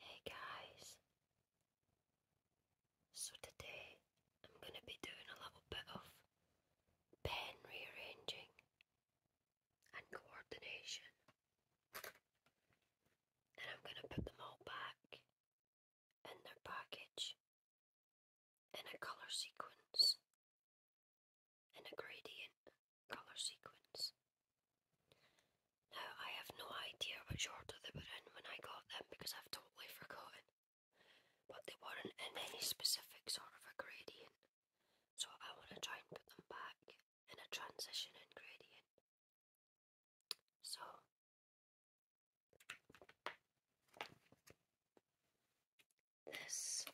Hey guys, so today I'm going to be doing a little bit of pen rearranging and coordination, and I'm going to put them all back in their package in a colour sequence in a gradient colour sequence. Now, I have no idea which order they were in when I got them because I've totally forgotten, but they weren't in any specific sort of a gradient, so I want to try and put them back in a transition and gradient. So, this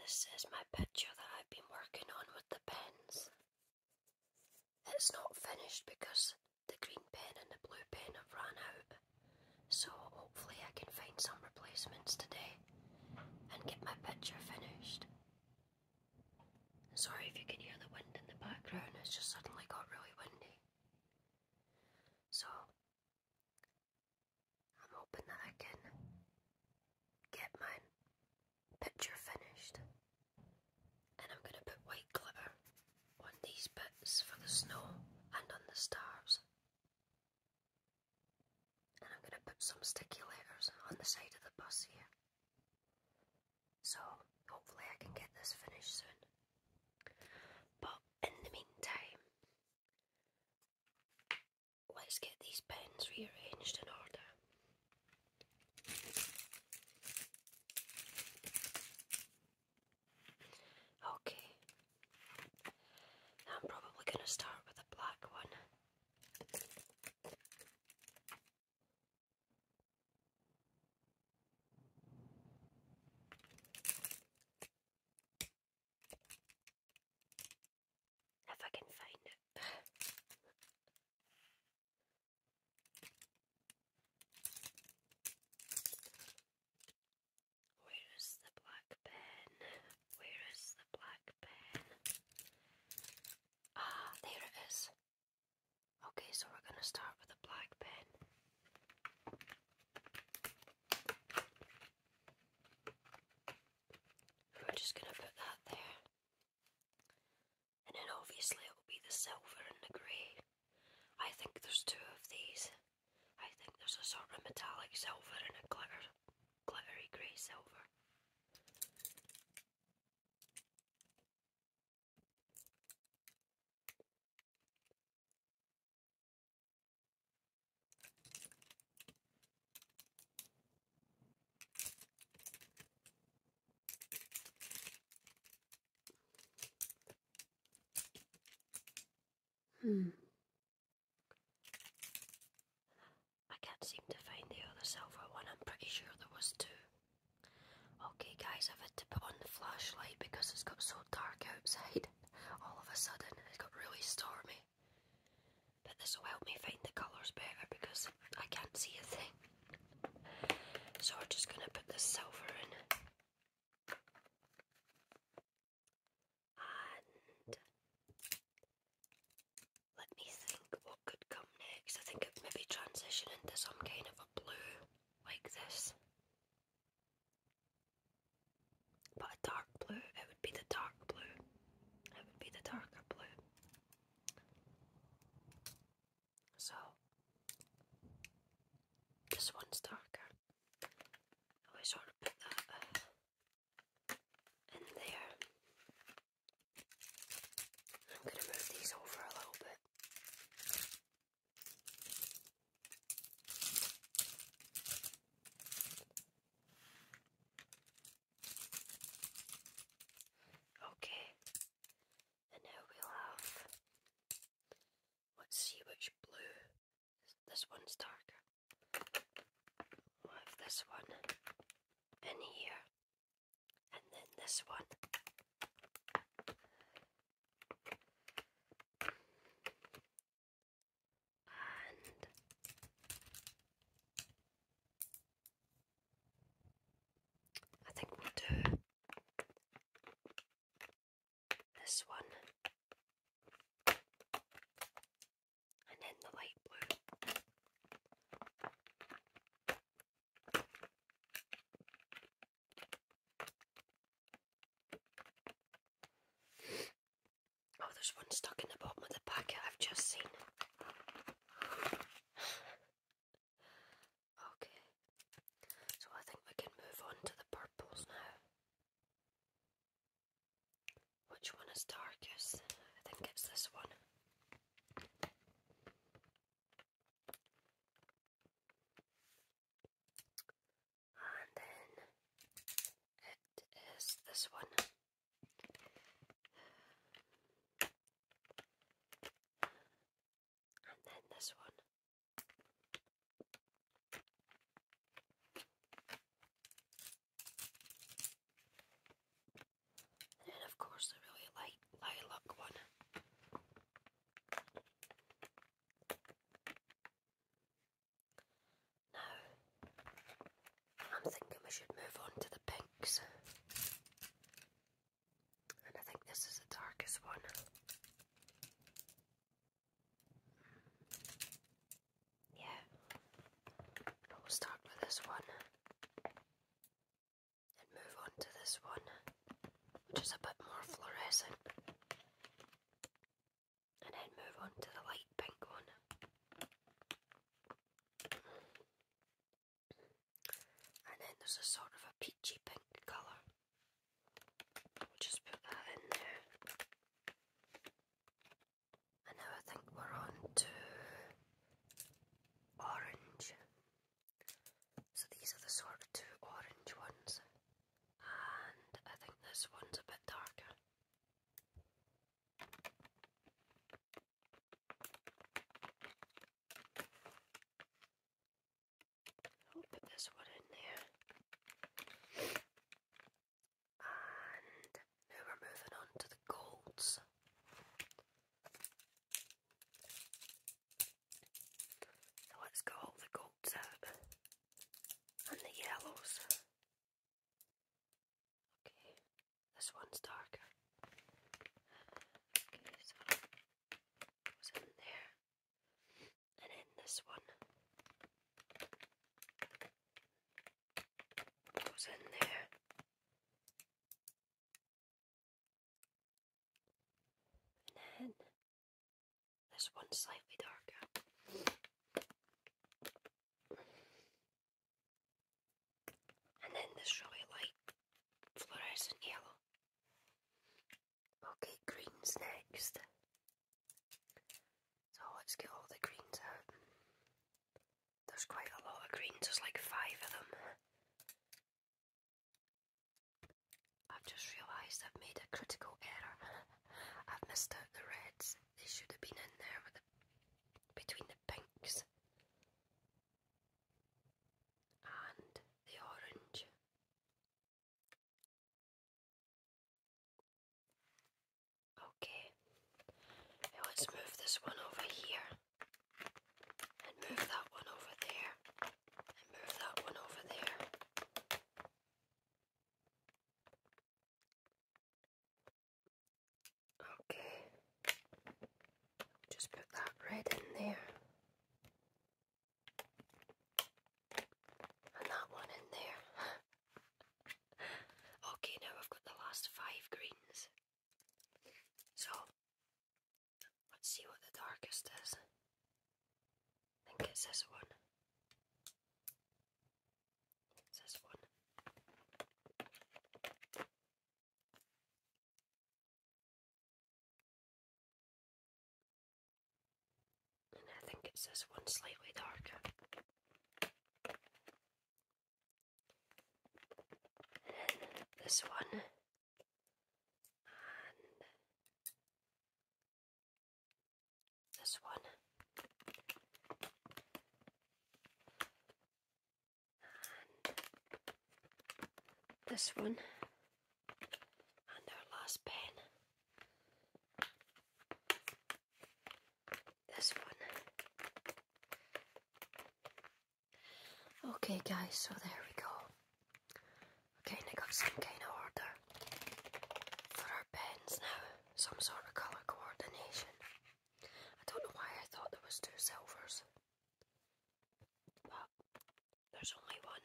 this is my picture that I've been working on with the pens. It's not finished because the green pen and the blue pen have run out, so hopefully I can find some replacements today and get my picture finished. Sorry if you can hear the wind in the background, it's just suddenly got really windy. So, I'm hoping that I can get my picture finished. And I'm going to put white glitter on these bits for the snow and on the stars. And I'm going to put some sticky letters on the side of the bus here. So hopefully I can get this finished soon. But in the meantime, Let's get these pens rearranged in order. Okay. I'm probably going to start with a black one. If I can find it. Where is the black pen? Where is the black pen? Ah, there it is. Okay, so we're going to start with a black pen. I'm just going to put that there. And then obviously it will be the silver and the grey. I think there's two of these. I think there's a sort of metallic silver and a glitter, glittery grey silver. Hmm. I can't seem to find the other silver one. I'm pretty sure there was two. Okay, guys, I've had to put on the flashlight because it's got so dark outside all of a sudden it got really stormy. But this will help me find the colours better because I can't see a thing. So we're just going to put the silver in. And let me think what could come next. I think it maybe transition into some kind of a blue like this. But a dark blue, it would be the dark blue. It would be the darker blue. So, this one's darker. I always want to put that uh, in there. I'm going to move these over a little bit. Okay, and now we have. Let's see which blue. This one's darker. We'll this one in here, and then this one. And I think we'll do this one and then the light blue. Oh, there's one stuck in the bottom of the packet I've just seen. okay, so I think we can move on to the purples now. Which one is darkest? I think it's this one. And then it is this one. And then this one. And of course, the really light lilac one. Now, I'm thinking we should move on to the pinks. And I think this is the darkest one. Yeah. But we'll start with this one and move on to this one, which is a bit more fluorescent, and then move on to the light pink one. And then there's a sort of a peachy pink color just put that in there. And now I think we're on to orange. So these are the sort of two orange ones, and I think this one's a bit darker. I'll put this one in there. And now we're moving on to the golds. So let's go all the golds out and the yellows. Okay, this one's darker. Okay, so goes in there, and then this one goes in there. And then this one slightly darker. And then this really light fluorescent yellow. Okay, green's next. So let's get all the greens out. There's quite a lot of greens, there's like five of them. I've just realised I've made a critical error. I've missed out the reds. They should have been in there with the, between the pinks and the orange. Okay, let's move this one over here and move that one over there, and move that one over there. Okay, just put that red in there, and that one in there. okay, now I've got the last five greens. So, let's see what the darkest is. I think it's this one. this one. And I think it's this one slightly darker this one this one this one and our last pen this one. Okay, guys, so there we go. Okay, I got some kind of order for our pens now, some sort of colour coordination. I don't know why I thought there was two silvers, but there's only one.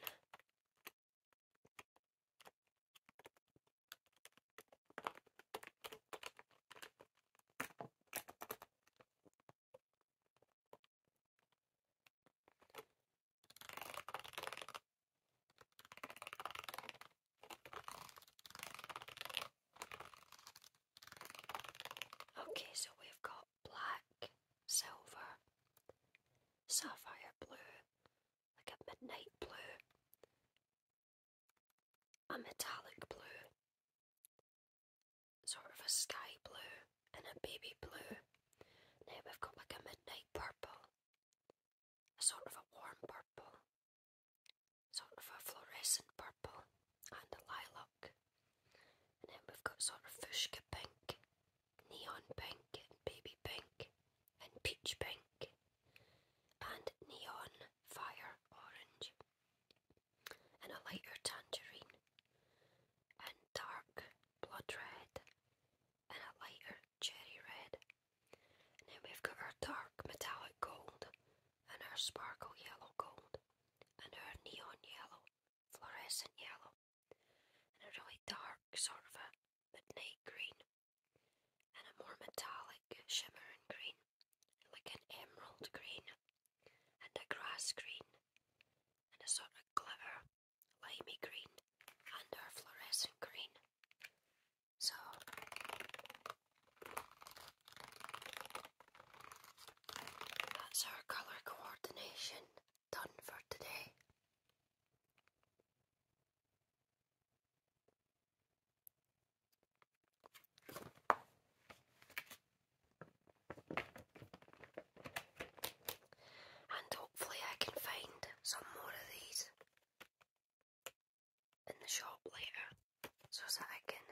Okay, so we've got black, silver, sapphire blue, like a midnight blue, a metallic blue, sort of a sky blue, and a baby blue. Now we've got like a midnight purple, a sort of a warm purple, sort of a fluorescent purple, and a lilac. And then we've got sort of fuchsia pink, neon pink, and baby pink, and peach pink and neon fire orange, and a lighter tangerine, and dark blood red, and a lighter cherry red. And then we've got our dark metallic gold, and our sparkle yellow gold, and our neon yellow, fluorescent yellow, and a really dark sort of a midnight green and a more metallic shimmering green, like an emerald green, and a grass green, and a sort of glitter, limey green, and our fluorescent green. So that's our colour coordination done for today. And hopefully, I can find some more of these in the shop later so that I can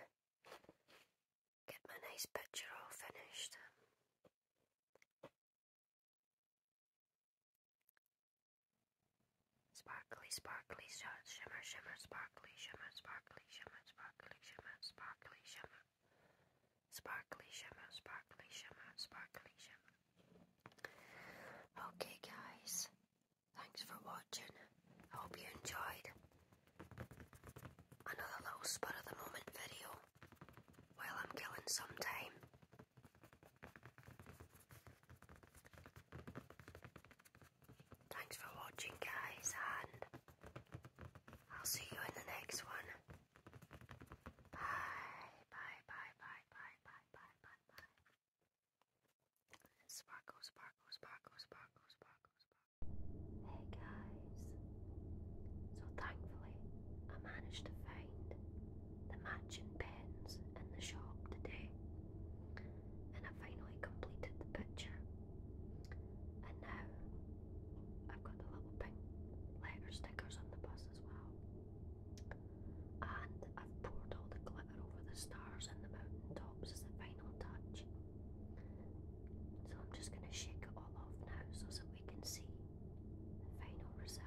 get my nice picture all finished. Sparkly, sparkly, sh shimmer, shimmer, sparkly, shimmer, sparkly, shimmer, sparkly, shimmer, sparkly, shimmer. Sparkly, shimmer, sparkly, shimmer, Okay, guys. Thanks for watching. I hope you enjoyed another little spot of the moment video while I'm killing some time. Thanks for watching, guys, and I'll see you in the next one. Bye, bye, bye, bye, bye, bye, bye, bye, bye. Sparkle, sparkle, sparkle, sparkle, sparkle, sparkle. Hey, guys. So, thankfully, I managed to find the matching pens in the shop today, and I finally completed the picture. And now I've got the little pink letter stickers on the bus as well. And I've poured all the glitter over the stars and the mountain tops as the final touch. So I'm just going to shake it all off now so that we can see the final result.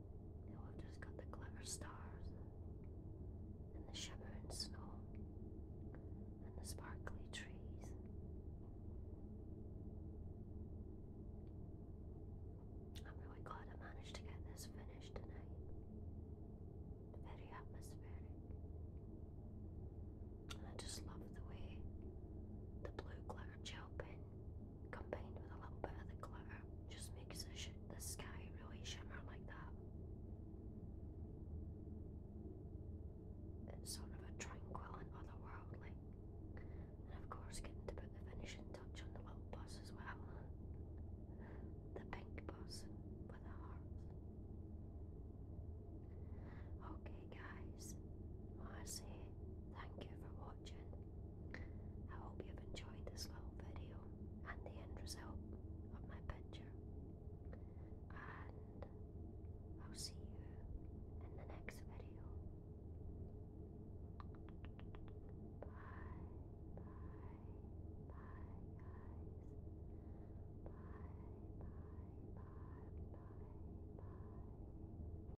I've just got the glitter stars and the shimmering snow and the sparkly trees. I'm really glad I managed to get this finished tonight. Very atmospheric. I just love the way the blue glitter gel pen combined with a little bit of the glitter just makes the, sky really shimmer like that. It's sort of a tranquil and otherworldly. And of course getting to put the finishing touch on the little bus as well. The pink bus with the heart. Okay guys, I say thank you for watching. I hope you've enjoyed this little video and the end result of my picture. And I'll see you in the next video. Bye, bye, bye, guys. Bye, bye, bye, bye, bye.